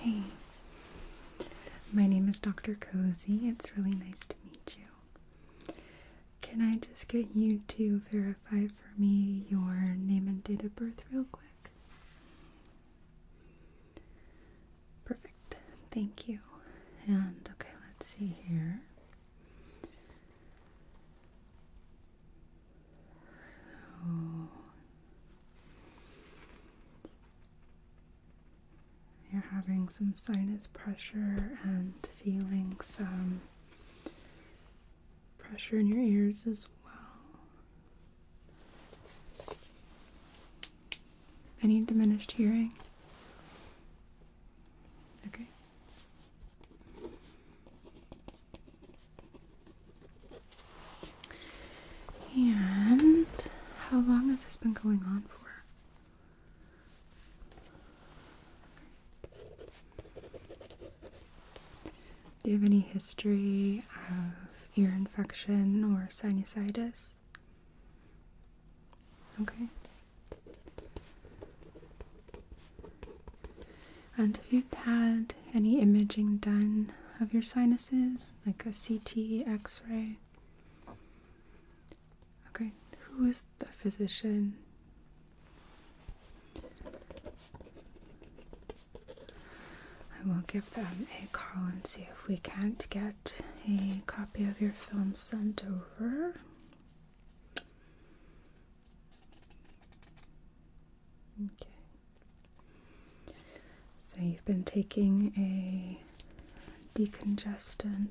Hey, my name is Dr. Cozy. It's really nice to meet you. Can I just get you to verify for me your name and date of birth real quick? Perfect. Thank you. And okay, let's see here. you're having some sinus pressure and feeling some pressure in your ears as well. Any diminished hearing? Okay. And how long has this been going on for? Do you have any history of ear infection or sinusitis? Okay. And have you had any imaging done of your sinuses, like a CT, x ray? Okay, who is the physician I will give them a call and see if we can't get a copy of your film sent over. Okay. So you've been taking a decongestant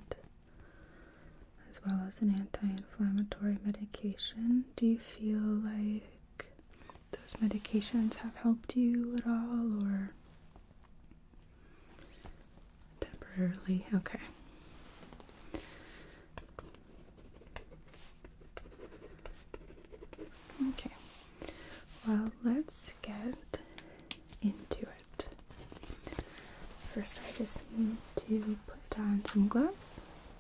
as well as an anti inflammatory medication. Do you feel like those medications have helped you at all or temporarily? Okay. Okay, well, let's get into it. First, I just need to put on some gloves.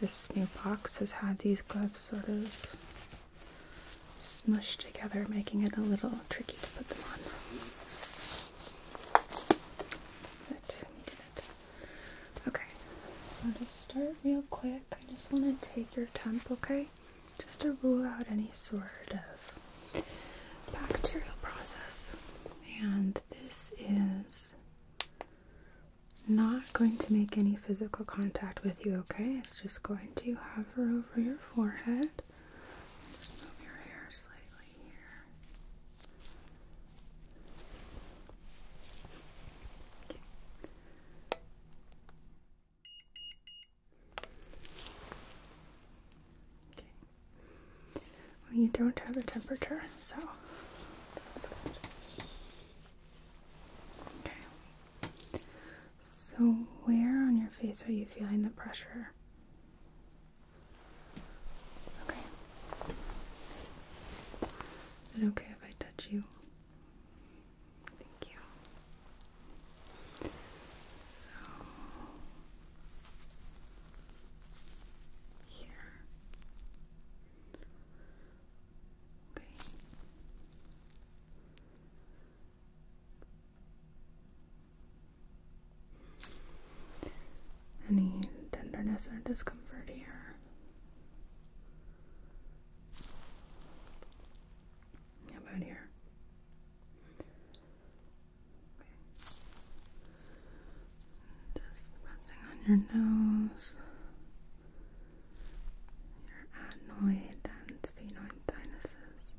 This new box has had these gloves sort of smushed together, making it a little tricky to put them on. But we did it. Okay, so to start real quick, I just want to take your temp, okay? Just to rule out any sort of bacterial process. And this is not going to make any physical contact with you, okay? It's just going to hover over your forehead. Just move your hair slightly here. Okay. Well, you don't have a temperature, so Okay. So, where on your face are you feeling the pressure? Okay. Is it okay if I touch you? Thank you. So, here. Okay. Any tenderness or discomfort here? about here? Just pressing on your nose, your adenoid and sphenoid sinuses.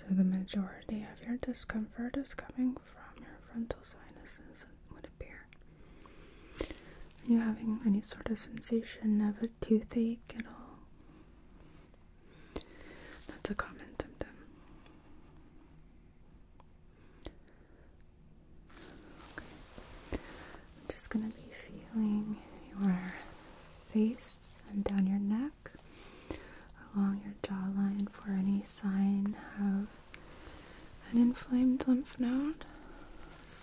So, the majority of your discomfort is coming from your frontal sinuses, it would appear. Are you having any sort of sensation of a toothache at all? That's a common symptom. I'm just going to be feeling your face and down your neck, along your jawline for any sign of an inflamed lymph node.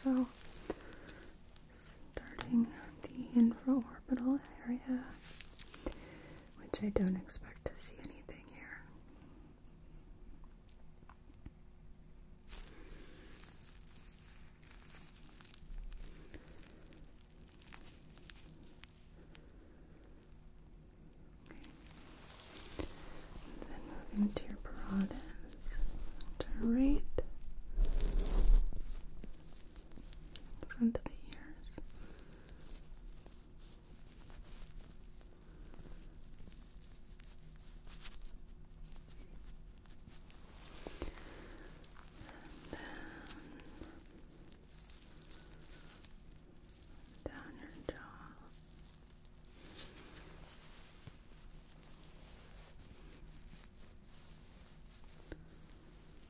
So, starting the infraorbital area which I don't expect to see anything here. then moving to your parotid, right in front of the ears. And then down your jaw.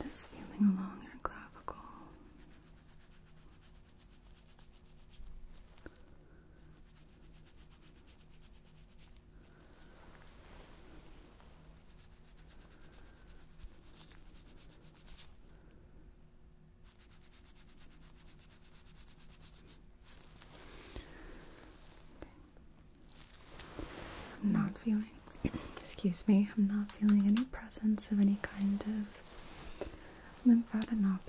And just feeling along your clavicle. I'm not feeling, excuse me, I'm not feeling any presence of any kind of lymphadenopathy.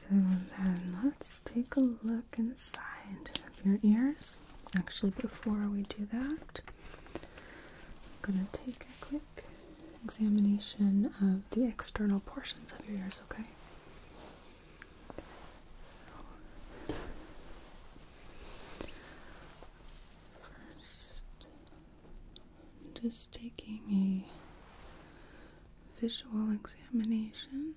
So then let's take a look inside your ears. Actually, before we do that, I'm going to take a quick examination of the external portions of your ears, okay? So, 1st just taking a visual examination.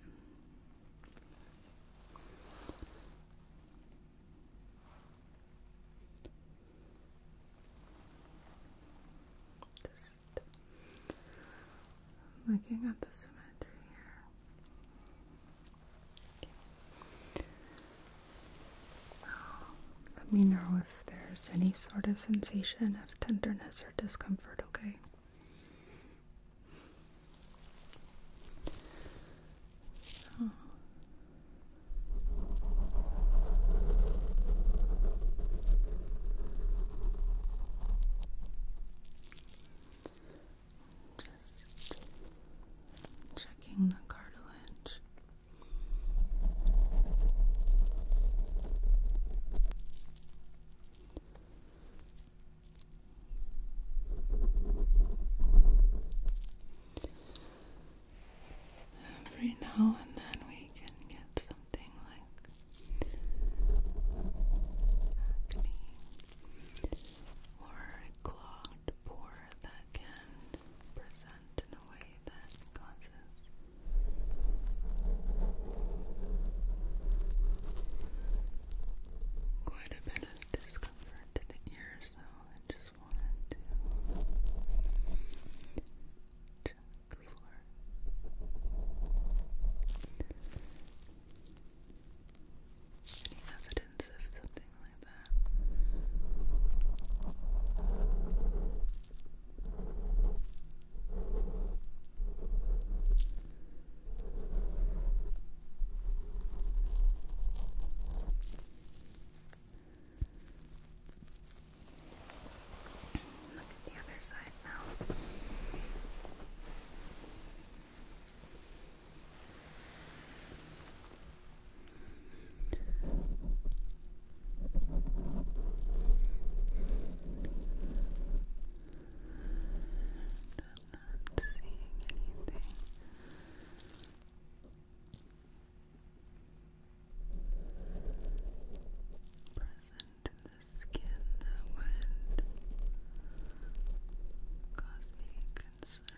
Just looking at the symmetry here. let me know if there's any sort of sensation of tenderness or discomfort, okay? Just checking the cartilage. Every now and then we can get something like acne or a clogged pore that can present in a way that causes Quite a bit of discomfort to the ears, though. I just wanted to check for any evidence of something like that. Look at the other side now. Good. I'm not seeing anything. Present the skin that would cause me concern.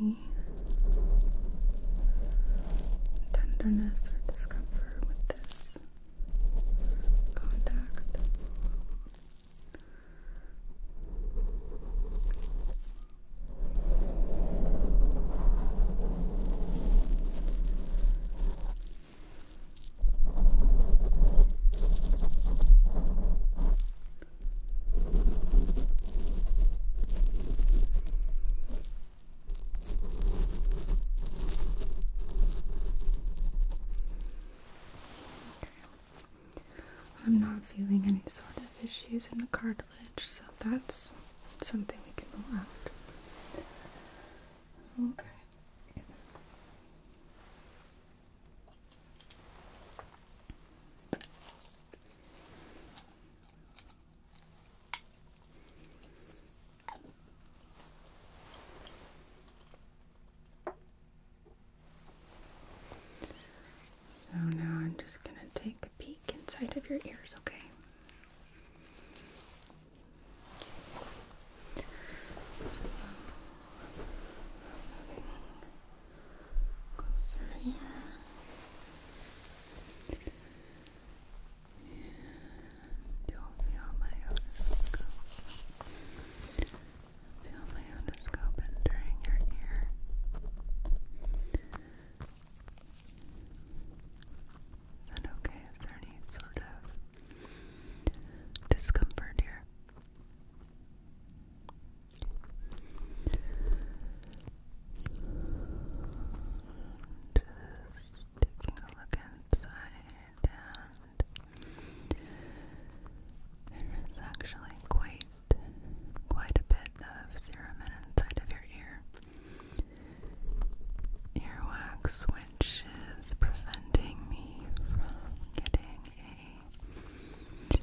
any tenderness or discomfort with this contact. I'm not feeling any sort of issues in the cartilage, so that's something we can rule out. Okay. So now I'm just going to take a peek inside of your ears, okay? closer here. And you feel my otoscope. Feel my otoscope entering your ear. Is that okay? Is there any sort of discomfort here? Just taking a look inside, and there is actually quite, quite a bit of serum inside of your ear. Earwax, which is preventing me from getting a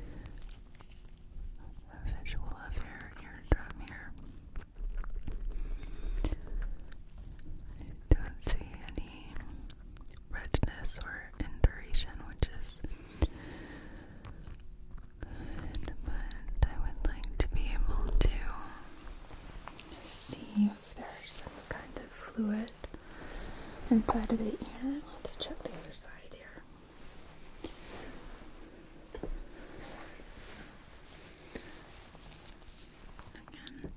visual of your eardrum here. I don't see any redness or induration, which is good, but I would like to be able to see if there's some kind of fluid inside of the ear. Let's check the other side here. Again,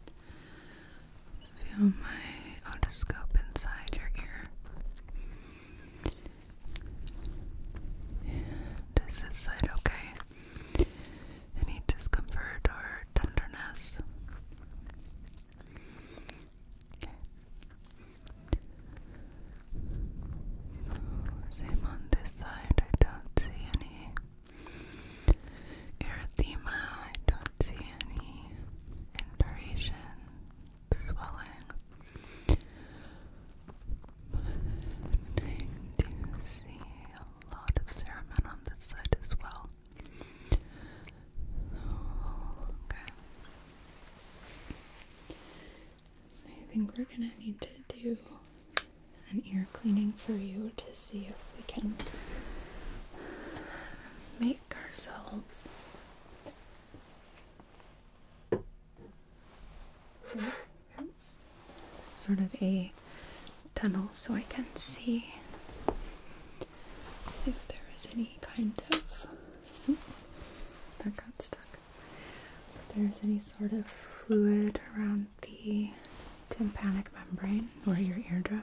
feel my otoscope inside your ear. is this side okay? Any discomfort or tenderness? Okay. So, same on this side, I don't see any erythema, I don't see any induration, swelling. But I do see a lot of cerumen on this side as well. So, oh, okay. I think we're gonna need to do an ear cleaning for you to see if we can make ourselves sort of a tunnel so I can see if there is any kind of oh, that got stuck if there's any sort of fluid around the tympanic membrane or your eardrum,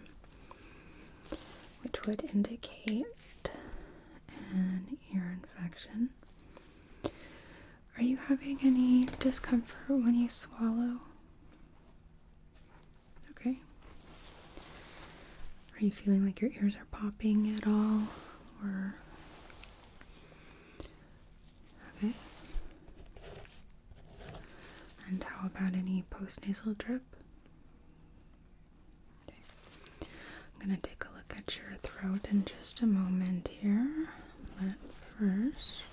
which would indicate an ear infection. Are you having any discomfort when you swallow? Okay. Are you feeling like your ears are popping at all? Or Okay. And how about any postnasal drip? I'm going to take a look at your throat in just a moment here. But first,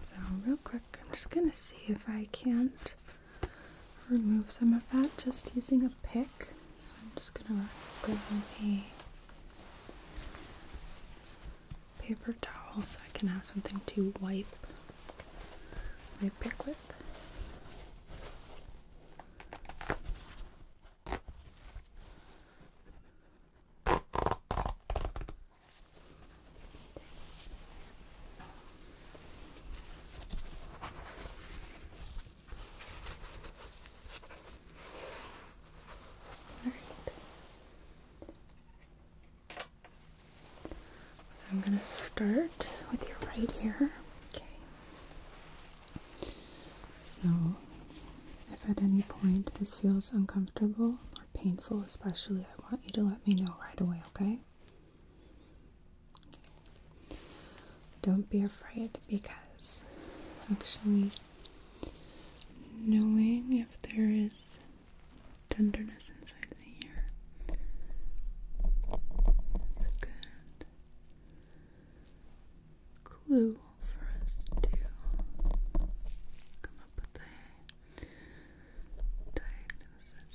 so, real quick, I'm just going to see if I can't remove some of that just using a pick. I'm just gonna grab a paper towel so I can have something to wipe my pick with. So I'm going to start with your right ear. Okay. So if at any point this feels uncomfortable or painful, especially, I want you to let me know right away, okay? Don't be afraid because actually knowing if there is tenderness inside the ear is a good clue for us to come up with a diagnosis.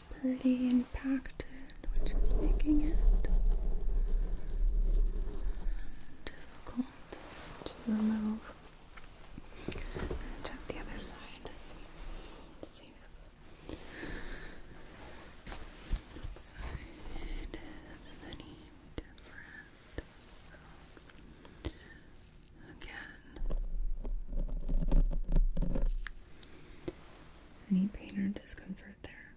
pretty impacted, which is making it difficult to remove. Check the other side. see if this side is any different. So again, any pain or discomfort there?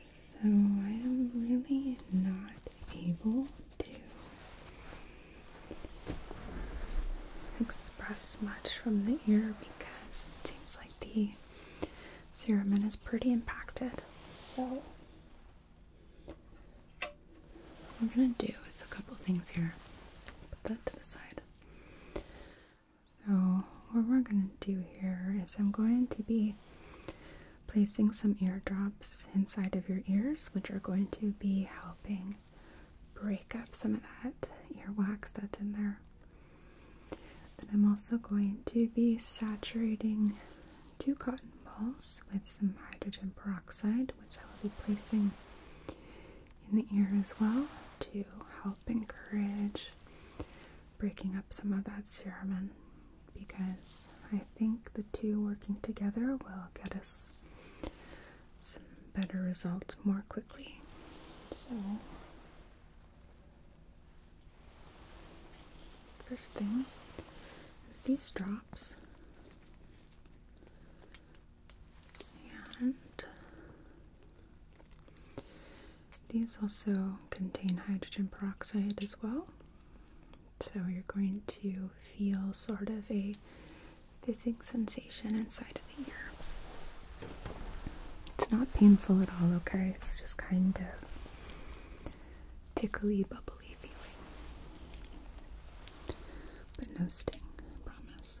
so I am really not able to express much from the ear because it seems like the cerumen is pretty impacted. So, what we're gonna do is a couple things here. Put that to the side. So, what we're gonna do here is I'm going to be placing some eardrops inside of your ears, which are going to be helping break up some of that ear wax that's in there. Then I'm also going to be saturating two cotton balls with some hydrogen peroxide, which I will be placing in the ear as well to help encourage breaking up some of that cerumen because I think the two working together will get us some better results more quickly. So, first thing is these drops. And these also contain hydrogen peroxide as well. So you're going to feel sort of a fizzing sensation inside of the ears. It's not painful at all, okay? It's just kind of tickly, bubbly feeling. But no sting, I promise.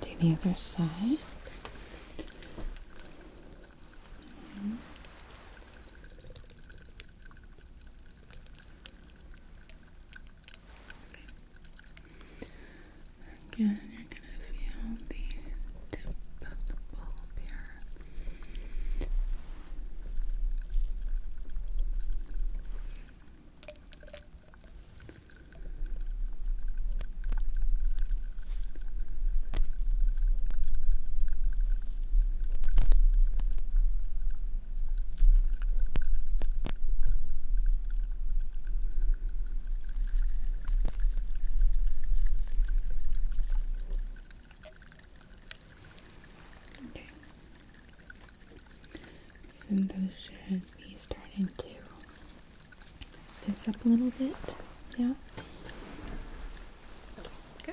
Do the other side. Mm Again, you're gonna feel the tip of the bulb here. Okay. So those should be starting to this up a little bit. Yeah. Okay.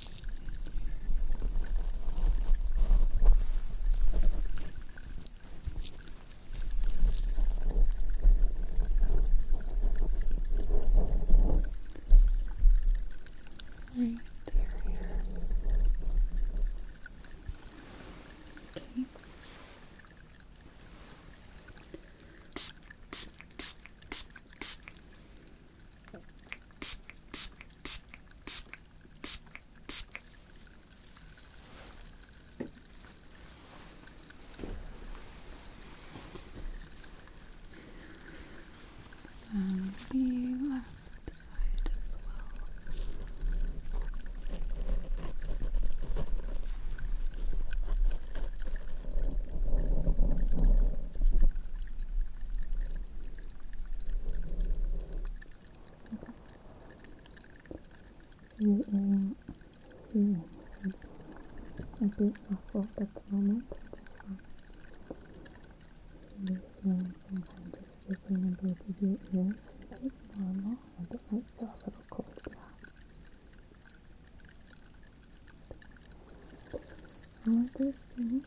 Right here. Okay. And the left side as well. You are feeling a bit awful at the moment. You can sometimes just sticking in both of your ears. It's normal, and it might feel a little cold now. All of those things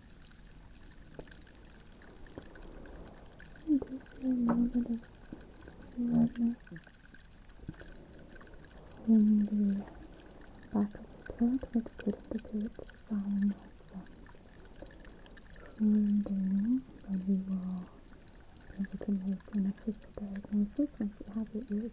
Movement in the back of the throat with good debate following also. Soon then we will be able to make an official diagnosis once have your ears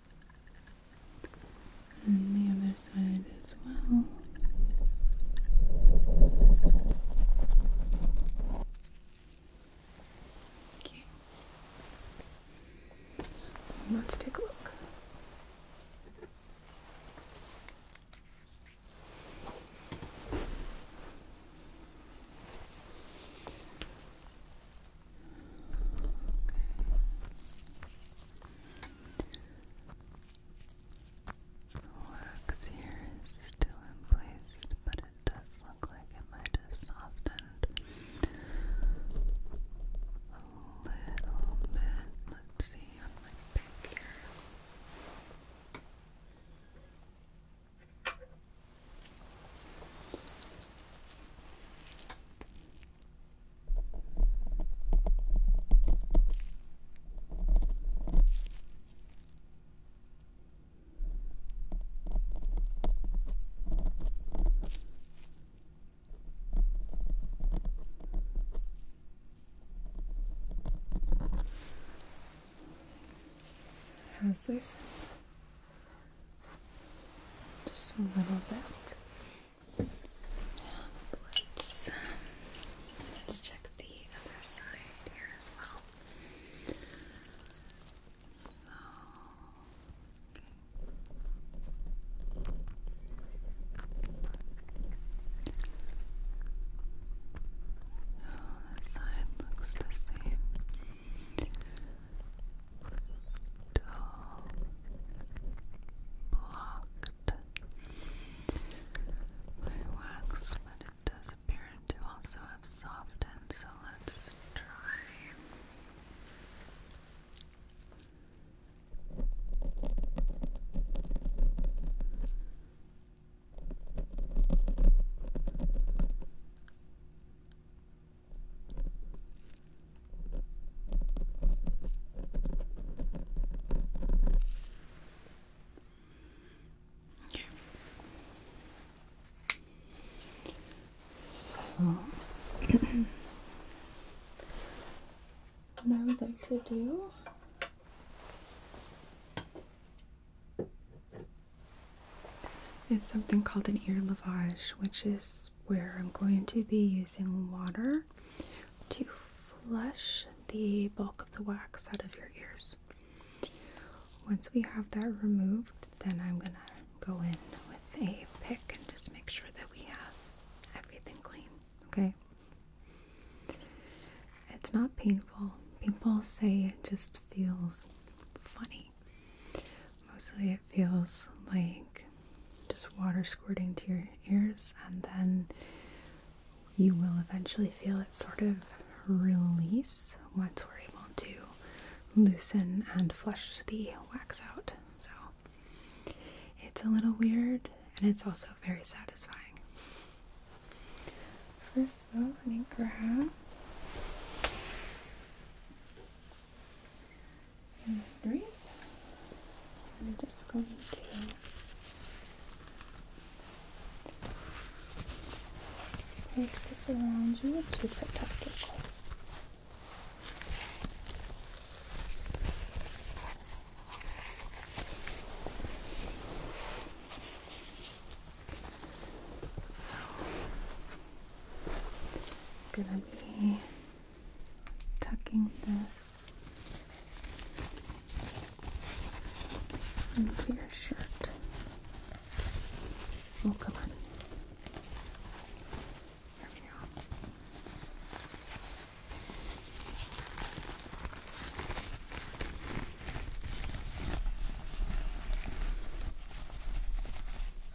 and the other side as well. Okay. Let's take a look. The wax here is still in place, but it does look like it might have softened a little bit. Let's see on my pick here. How's this? Just a little bit. And let's, um, let's check the other side here as well. So, okay. Oh, this side looks the same dull, blocked by wax, but it does appear to also have softened, so let's try. Okay. So what I would like to do is something called an ear lavage, which is where I'm going to be using water to flush the bulk of the wax out of your ears. Once we have that removed, then I'm gonna go in with a pick and just make sure that we have everything clean, okay? It's not painful. People say it just feels funny mostly. it feels like just water squirting to your ears, and then you will eventually feel it sort of release once we're able to loosen and flush the wax out. So it's a little weird and it's also very satisfying. First, though, let me and three. I'm just going to place this around you to protect your cold. I'm gonna be tucking this into your shirt. Oh, come on. There we go.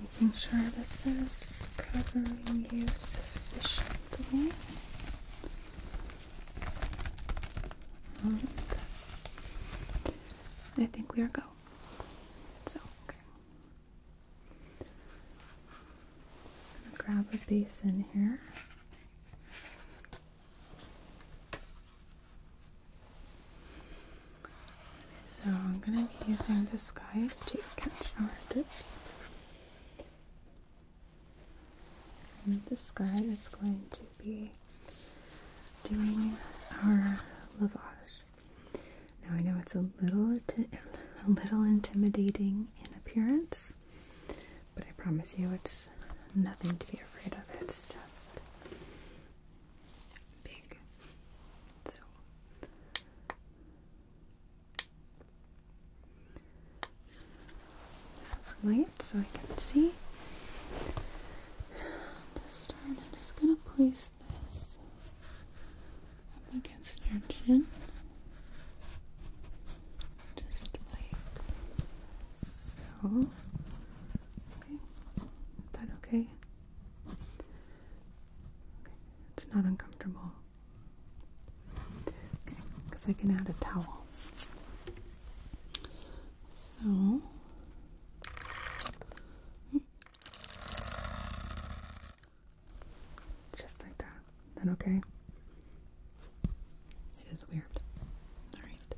making sure this is covering you sufficiently. I think we are go. So okay. gonna grab a basin here. So I'm going to be using this guide to catch our dips. And this guy is going to be doing our lavage. Now I know it's a little a little intimidating in appearance, but I promise you it's nothing to be afraid of. It's just big. So light so I can see. I'm just gonna place this up against your chin. Just like so. Okay. Is that okay? It's not uncomfortable. because I can add a towel. So. Just like that. Then okay. It is weird. Alright.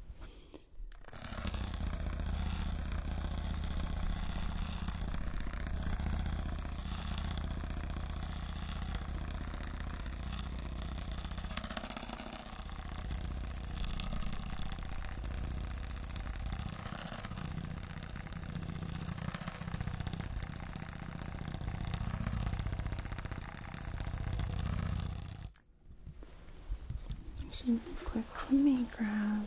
Actually, really quick, let me grab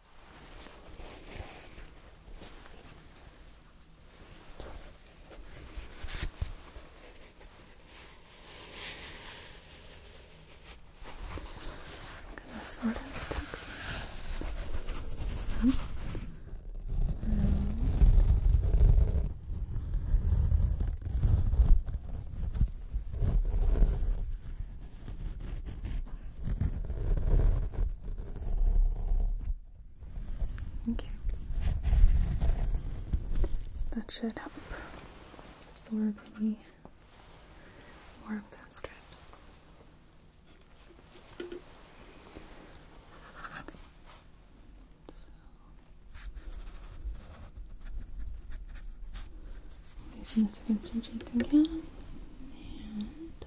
I'm gonna sort of tuck this up hmm? and Okay. That should help absorb any more of those strips. Okay. this against your cheek again. And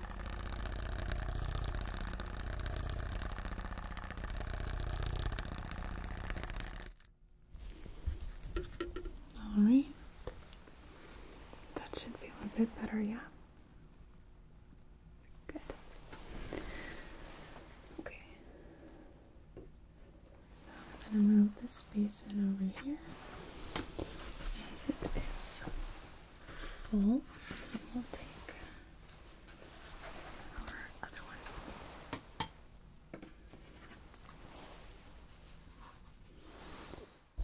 All right. That should feel a bit better, yeah. Good. Okay. I'm going to move this basin over here as it is full. So we'll take our other one.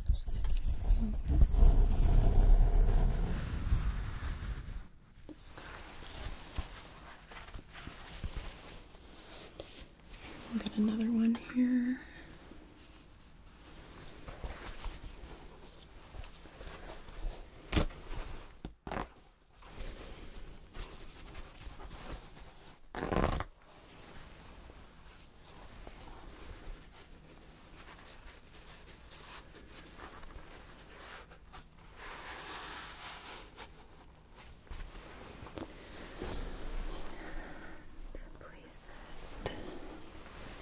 This guy. get another one here. So place it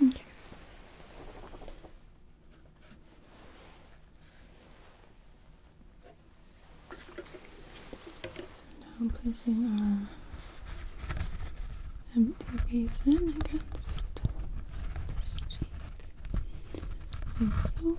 Okay. So now I'm placing our empty basin against this cheek, like so.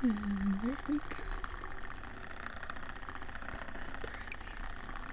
And there we go. Got that to release.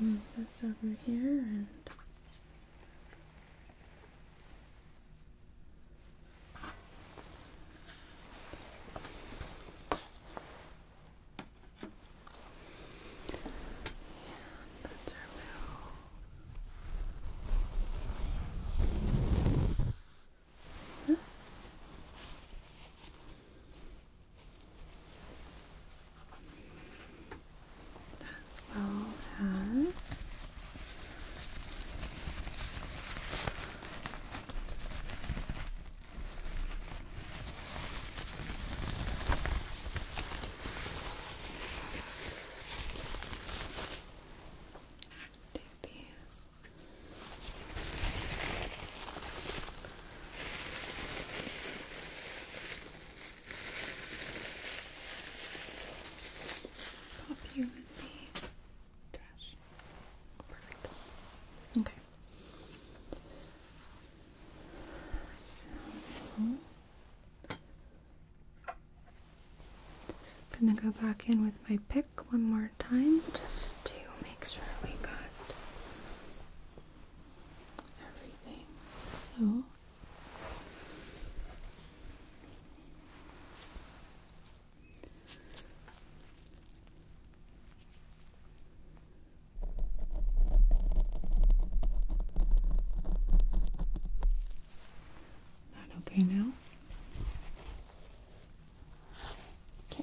Move this over here and yeah, that's our little this as well as take these Okay. So I'm gonna go back in with my pick one more time just to make sure we got everything. So that okay now? Okay.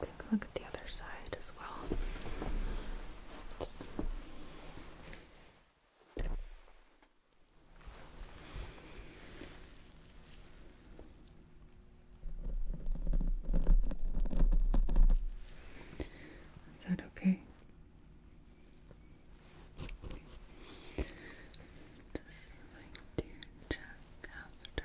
Take a look at the other side as well. is that okay? Just like to check after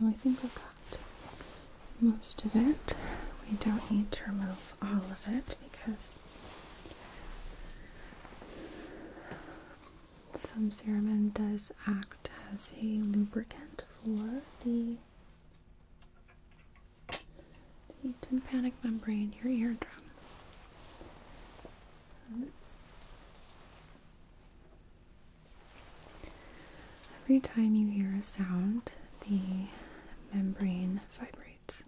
So I think I got most of it. We don't need to remove all of it because some cerumen does act as a lubricant for the, tympanic membrane, your eardrum. Every time you hear a sound, the membrane vibrates.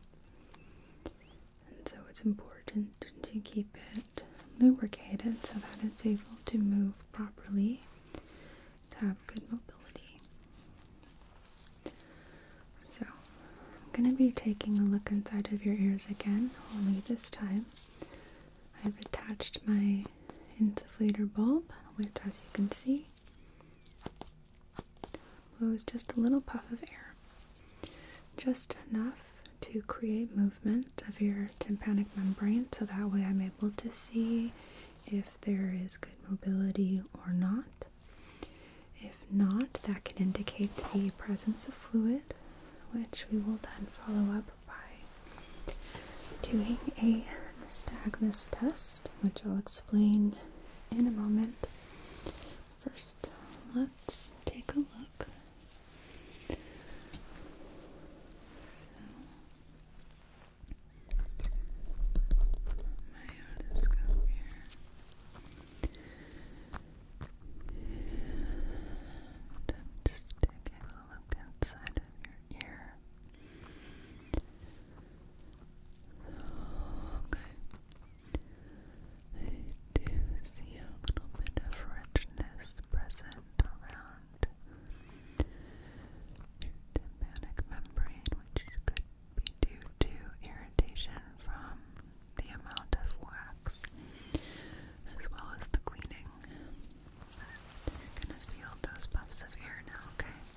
And so it's important to keep it lubricated so that it's able to move properly, to have good mobility. So I'm going to be taking a look inside of your ears again, only this time. I've attached my insufflator bulb, which as you can see it was just a little puff of air, just enough to create movement of your tympanic membrane so that way I'm able to see if there is good mobility or not. If not, that can indicate the presence of fluid, which we will then follow up by doing a nystagmus test, which I'll explain explain in a moment. First, let's take a look. my otoscope here. just taking a look inside of your ear. Okay. I do see a little bit of richness present around your tympanic membrane, which could be due to irritation from the amount of wax as well as the cleaning. you're gonna feel those puffs of air now, okay?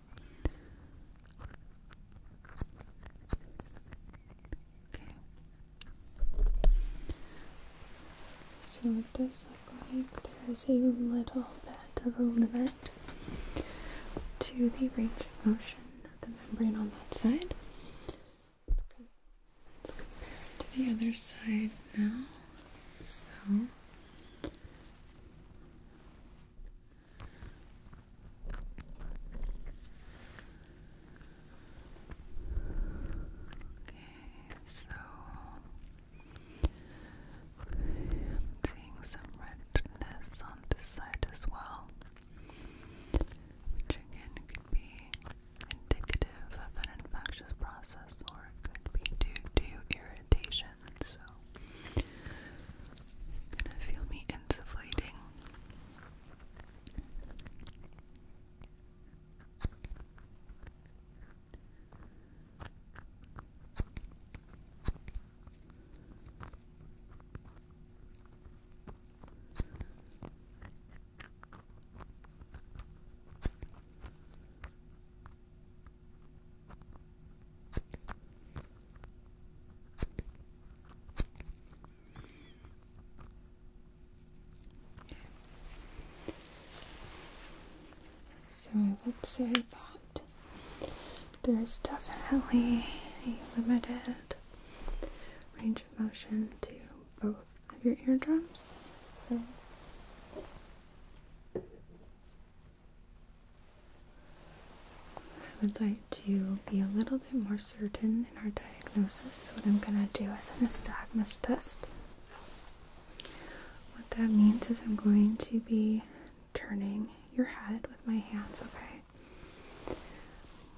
So it does look like there is a little bit of a limit to the range of motion of the membrane on that side. Let's compare to the other side now. So Okay, so seeing some redness on this side as well, which again be indicative of an infectious process or it could be due to irritation and you're gonna feel me insufflating. So I would say that there's definitely a limited range of motion to both of your eardrums. So I would like to be a little bit more certain in our diagnosis. What I'm going to do is an nystagmus test. What that means is I'm going to be turning your head with my hands, okay?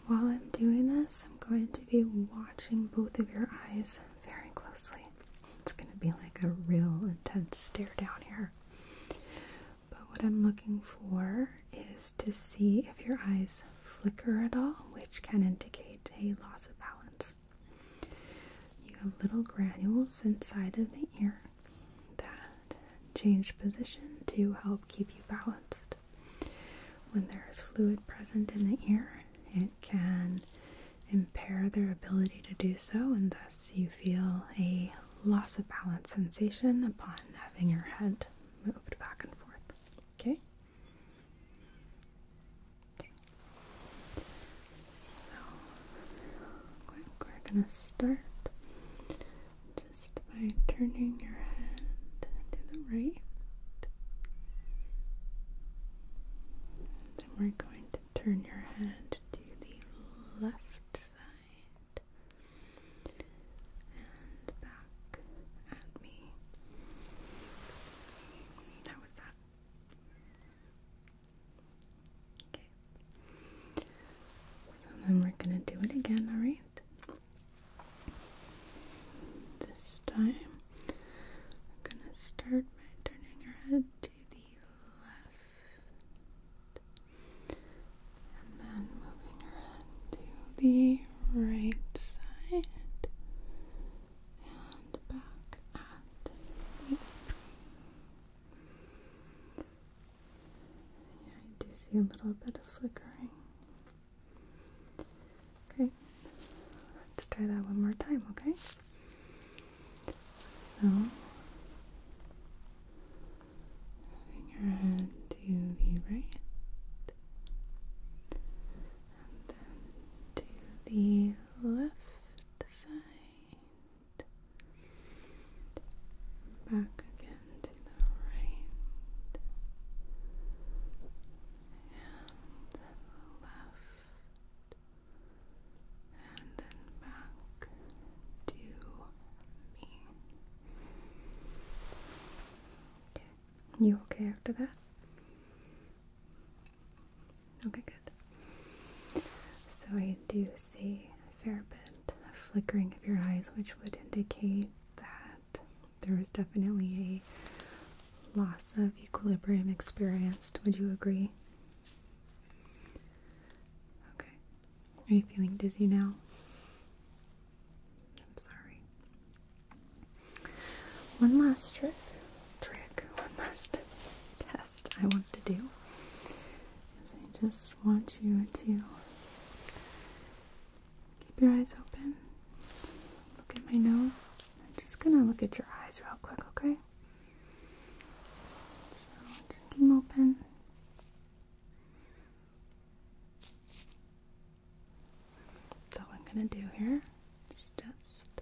While I'm doing this, I'm going to be watching both of your eyes very closely. It's going to be like a real intense stare down here. But what I'm looking for is to see if your eyes flicker at all, which can indicate a loss of balance. You have little granules inside of the ear that change position to help keep you balanced. When there is fluid present in the ear, it can impair their ability to do so, and thus you feel a loss of balance sensation upon having your head moved back and forth. Okay? So, we're going to start just by turning your head to the right. Then we're going to turn your head to the left side and back at me. That was that. Okay. So then we're gonna do it again, alright? This time I'm gonna start by turning her head to the left. And then moving to the right side and back at the. Yeah, I do see a little bit of flickering. Okay, let's try that one more time, okay? So, moving your head to the right and then to the left side, back again to the right and left and then back to me. You okay after that? Okay, good. So I do see a fair bit of flickering of your eyes, which would indicate that there was definitely a loss of equilibrium experienced. Would you agree? Okay. Are you feeling dizzy now? I'm sorry. One last trick, trick, one last test I want to do is I just want you to keep your eyes open, look at my nose. I'm just gonna look at your eyes real quick, okay? So just keep them open. So what I'm going to do here is just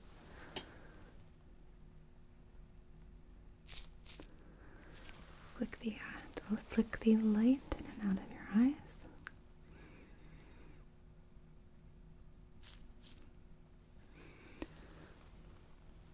flick the oh, flick the light in and out of your eyes.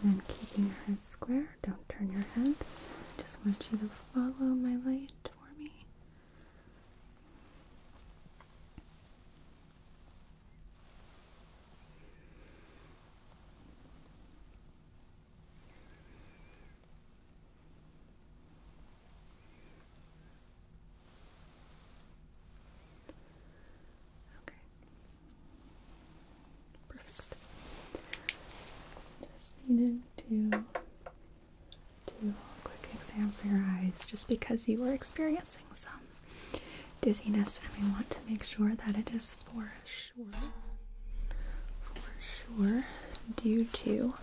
Okay. And then keeping your head square, don't turn your head. Just want you to follow my light for me. Okay. Perfect. Just needed to do a quick exam for your eyes just because you were experiencing some dizziness, and we want to make sure that it is for sure, for sure, due to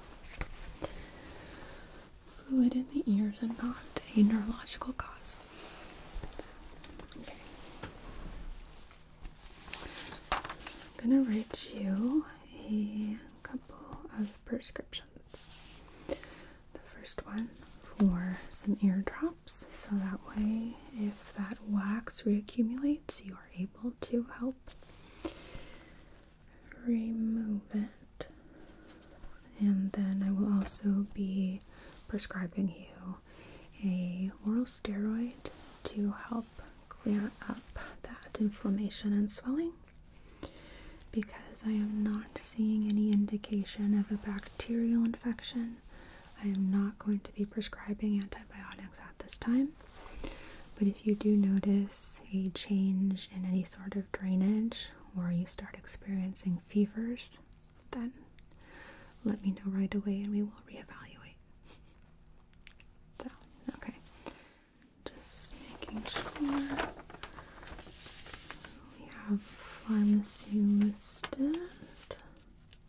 fluid in the ears and not a neurological cause. Okay. I'm gonna write you a couple of prescriptions. The first one for some ear drops, so that way if that wax reaccumulates, you are able to help remove it. And then I will also be prescribing you a oral steroid to help clear up that inflammation and swelling because I am not seeing any indication of a bacterial infection I am not going to be prescribing antibiotics at this time. But if you do notice a change in any sort of drainage or you start experiencing fevers, then let me know right away and we will reevaluate. So, okay. Just making sure we have pharmacy listed.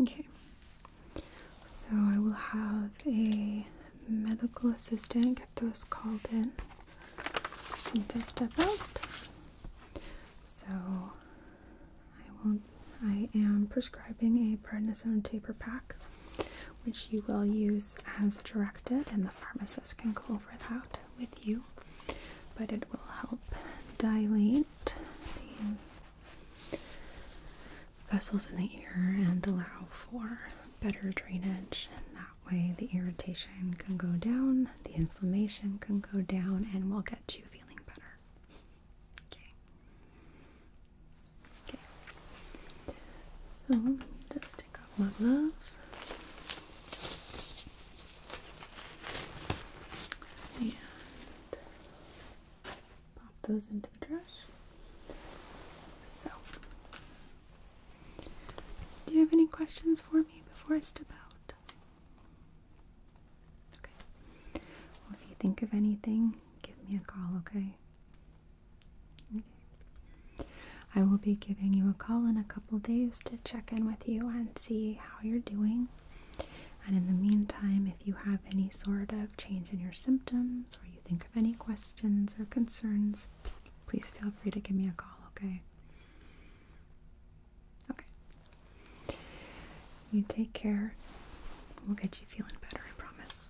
Okay. So I will have a medical assistant get those called in since I step out. So I will I am prescribing a prednisone taper pack which you will use as directed and the pharmacist can go over that with you. But it will help dilate the vessels in the ear and allow for better drainage. And that way, the irritation can go down, the inflammation can go down, and we'll get you feeling better. Okay. Okay. So, let me just take off my gloves. And pop those into the trash. So, do you have any questions for me before I step out? Okay. Well, if you think of anything, give me a call, okay? Okay. I will be giving you a call in a couple days to check in with you and see how you're doing. And in the meantime, if you have any sort of change in your symptoms or you think of any questions or concerns, please feel free to give me a call, okay? Okay. You take care. We'll get you feeling better, I promise.